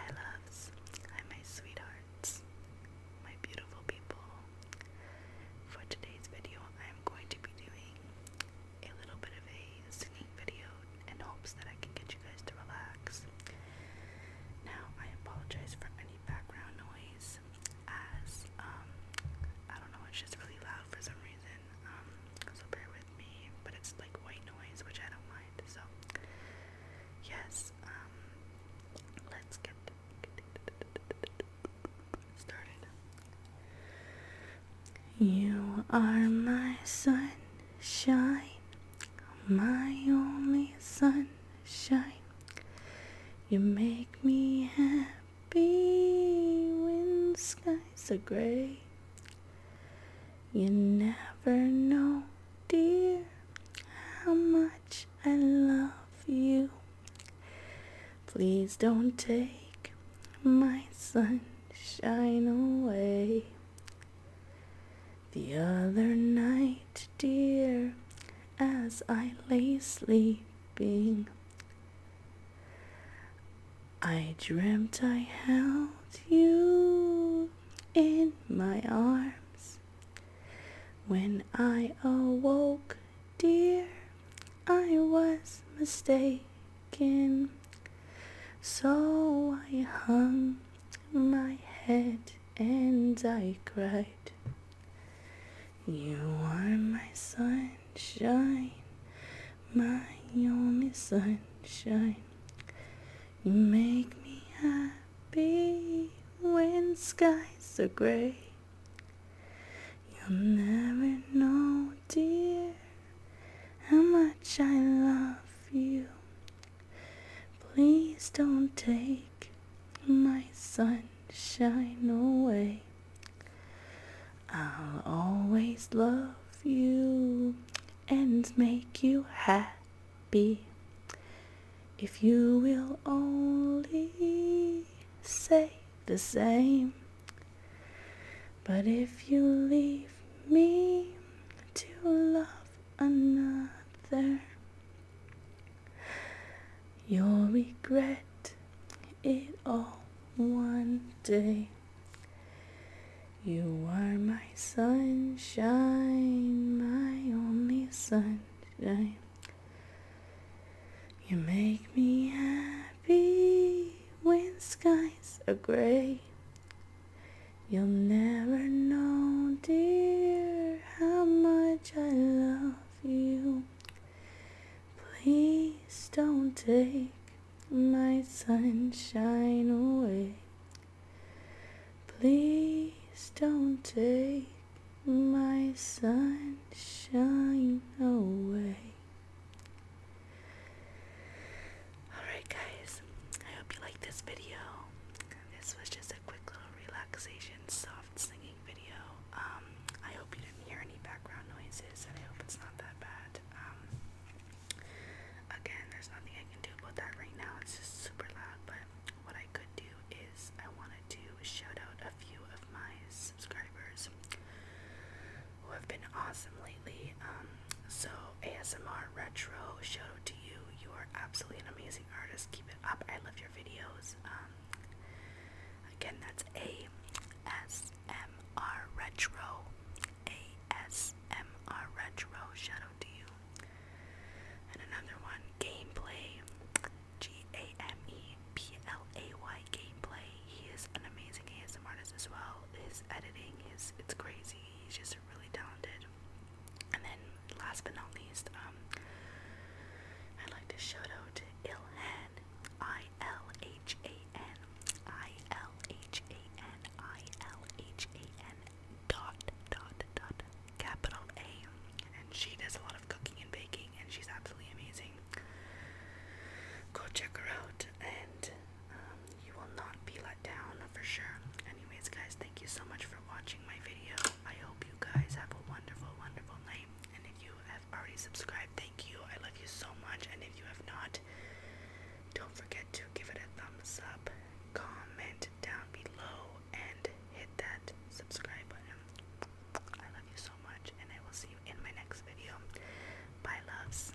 Hi loves, hi my sweethearts, my beautiful people. For today's video, I'm going to be doing a little bit of a singing video in hopes that I can get you guys to relax. Now, I apologize for any background noise as um, I don't know, it's just really loud for some reason. Um, so bear with me, but it's like white noise, which I don't like. So yes, um, let's get started. You are my sunshine, my only sunshine. You make me happy when skies are gray. You never know, dear, how much I love you. Please don't take my sunshine away. The other night, dear, as I lay sleeping, I dreamt I held you in my arms. When I awoke, dear, I was mistaken. So I hung my head and I cried. You are my son, sunshine, my only sunshine. You make me happy when skies are gray. You'll never know, dear, how much I love you. Please don't take my sunshine away. I'll always love you and make you happy if you will only say the same. But if you leave me to love another, You'll regret it all one day. You are my sunshine, my only sunshine. You make me happy when skies are gray. You'll never know, dear, how much I love you. Please don't take my sunshine away. Please don't take my sunshine away. Alright, guys, I hope you liked this video. This was just a quick little relaxation, soft singing video. Um, I hope you didn't hear any background noises, and I hope it's not that bad. Um, again, there's nothing I can do about that right now. It's just super loud, but what I could do is I wanted to shout out a few of my subscribers who have been awesome lately. Um, so ASMR Retro, shout out to you. You are absolutely an amazing artist. Keep it up. I love your videos. Um, again, that's A S M R Retro. A S M R Retro. Shout out to you. And another one, Gameplay. G A M E P L A Y Gameplay. He is an amazing ASM artist as well. His editing is it's crazy. He's just really talented. And then, last but not least, um, I'd like to shout out Ilhan, I L H A N, I L H A N, I L H A N, dot dot dot, capital A. And she does a lot of cooking and baking, and she's absolutely amazing. Go check her out, and um, you will not be down for sure. Anyways, guys, thank you so much for watching my video. I hope you guys have a wonderful, wonderful night. And if you have already subscribed, thank you. I love you so much. And if you have not, don't forget to give it a thumbs up, comment down below, and hit that subscribe button. I love you so much, and I will see you in my next video. Bye, loves.